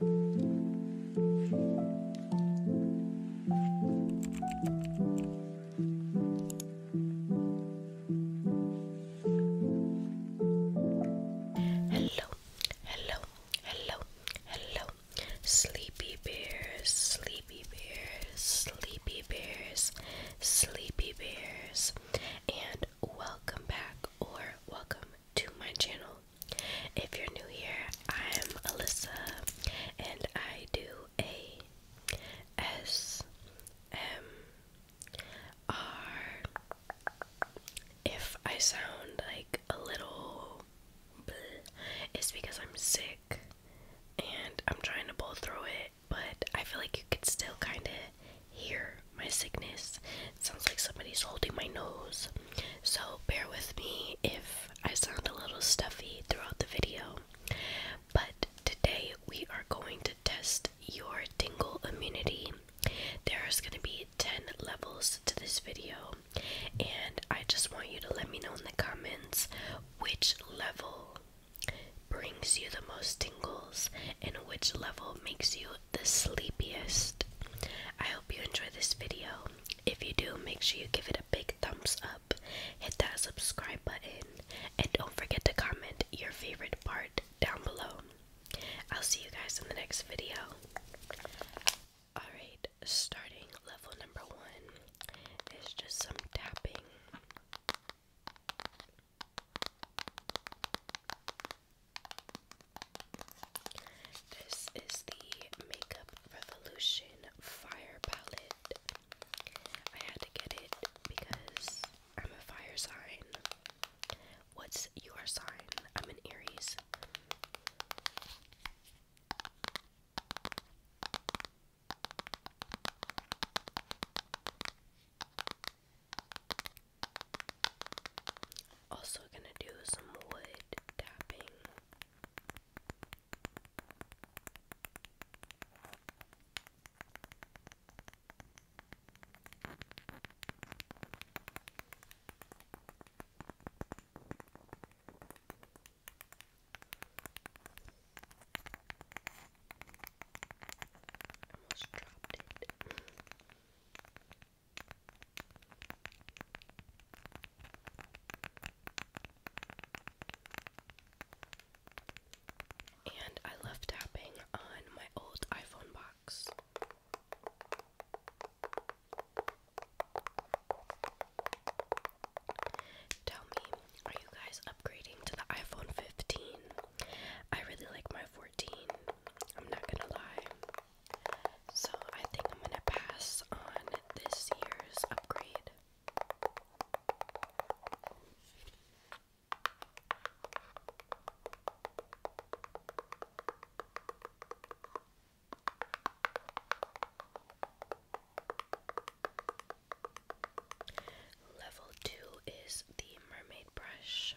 Hello, hello, hello, hello, sleepy bears, sleepy bears, sleepy bears, sleepy bears, and welcome back or welcome to my channel. If you're new here, I'm Alyssa and I do a S M R if I sound like a little it's because I'm sick and I'm trying to pull through it, but I feel like you could still kind of hear my sickness. It sounds like somebody's holding my nose. So bear with me if I sound a little stuffy throughout the video. But today we are going to test your tingle immunity. There's going to be 10 levels to this video, and I just want you to let me know in the comments which level brings you the most tingles and which level makes you the sleepiest. I hope you enjoy this video. If you do, make sure you give it a big thumbs up, hit that subscribe button, and don't forget to comment your favorite part down below. I'll see you guys in the next video. Alright, starting level number one is just some tapping. This is the Makeup Revolution Fire Palette. I had to get it because I'm a fire sign. What's your sign? I'm an Aries. Also, gonna do some wood tapping. almost dropped it. And I love tapping on my old iPhone box. Tell me, are you guys upgrading to the iPhone 15? I really like my 14. I'm not gonna lie. So I think I'm gonna pass on this year's upgrade. Level 2 is the mermaid brush.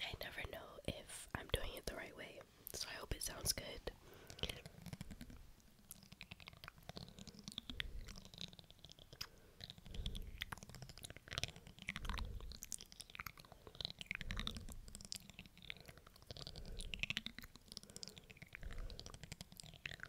I never know if I'm doing it the right way, so I hope it sounds good.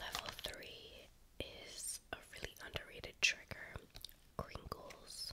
Level 3 is a really underrated trigger Kringles.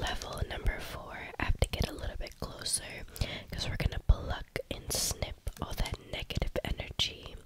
Level number four, I have to get a little bit closer because we're going to pluck and snip all that negative energy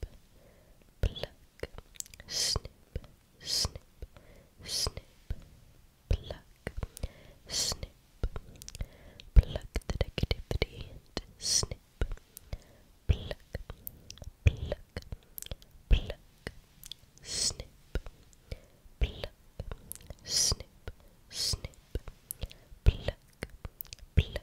pluck, snip, snip, snip, pluck, snip, pluck the negativity and snip, pluck, pluck, pluck, snip, pluck, snip, snip, pluck, pluck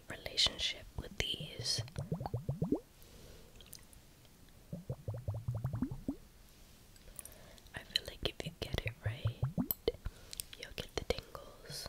relationship with these. I feel like if you get it right, you'll get the tingles.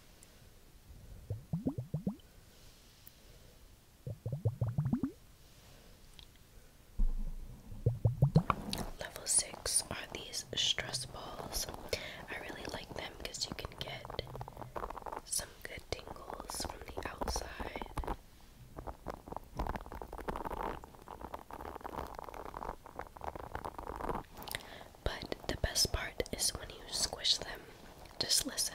Level 6 are these stress balls. I really like them because you can get some good tingles from the outside. But the best part is when you squish them. Just listen.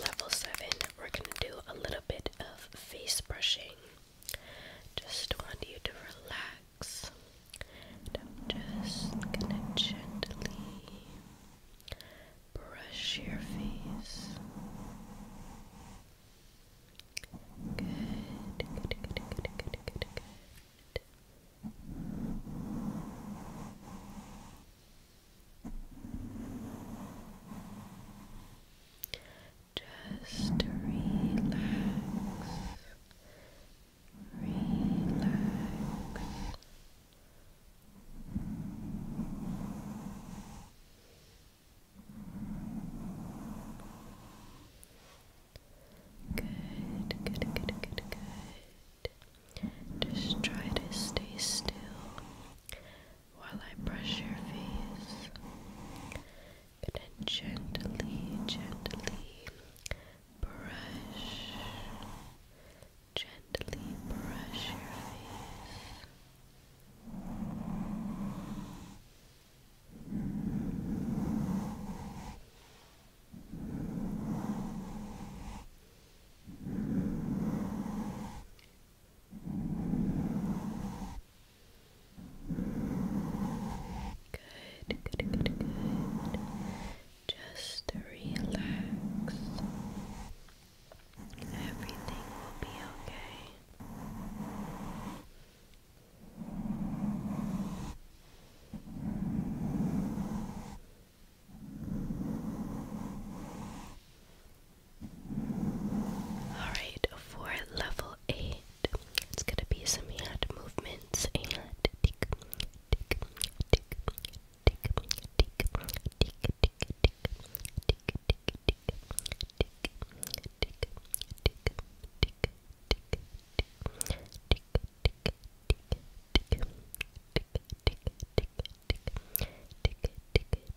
Level 7, we're going to do a little bit of face brushing. Just want you to relax. just gonna gently brush your face. good. Just relax, relax. Good, good, good, good, good. Just try to stay still while I brush your face. And I gently, gently brush, gently brush your face. Good, good, good, good. Just relax. Everything will be okay. Alright, for level 8, it's gonna be some hand movements and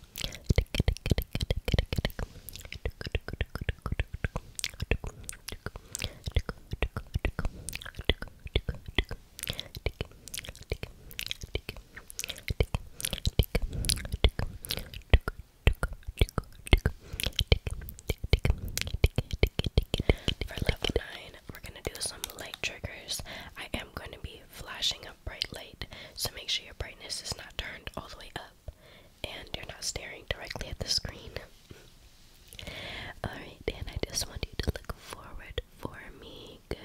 For level 9, we're going to do some light triggers. I am going to be flashing up bright light, so make sure your brightness is not turned all the way up and you're not staring directly at the screen. Alright, and I just want you to look forward for me. Good,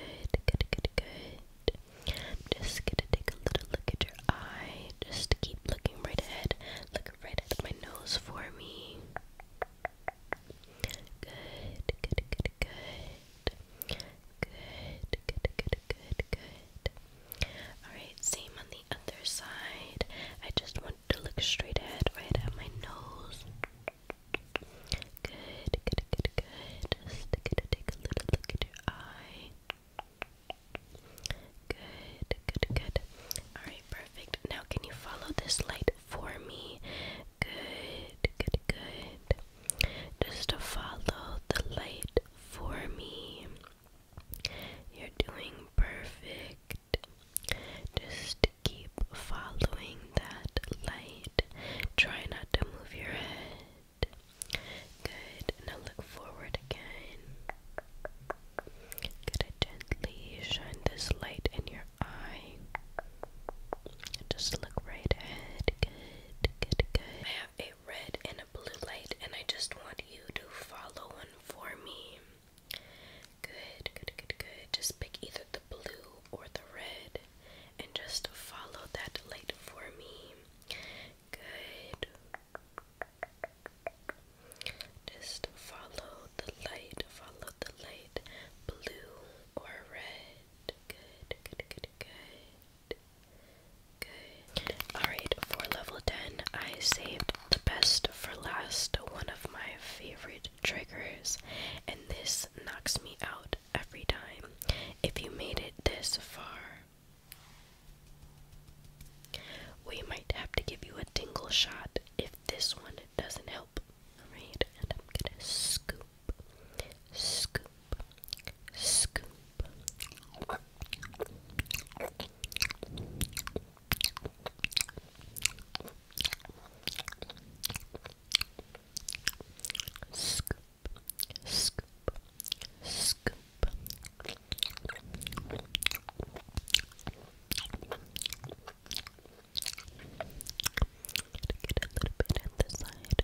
good, good, good. just gonna take a little look at your eye. Just keep looking right ahead. Look right at my nose for me. Good, good, good, good. Good, good, good, good, good. Alright, same on the other side. I just want to look straight ahead, right at my nose. Good, good, good, good. Just take a little look at your eye. Good, good, good. Alright, perfect. Now, can you follow this light for me? Good, good, good just to follow the light for me. You're doing perfect. Just keep following that light. Try not to move your head. Good. Now look forward again. gently shine this light in your eye. Just look right ahead. Good, good, good a red and a blue light, and I just want you to follow one for me. Good, good, good, good. Just pick either the blue or the red and just follow that light for me. Good. Just follow the light, follow the light, blue or red good, good, good, good. Good. Alright, for level 10, I saved the best for last, one of my favorite triggers, and this knocks me out every time. If you made it this far, we might have to give you a dingle shot if this one doesn't help. Alright, and I'm gonna scoop, scoop, scoop. Scoop, scoop, scoop. Get a little bit at the side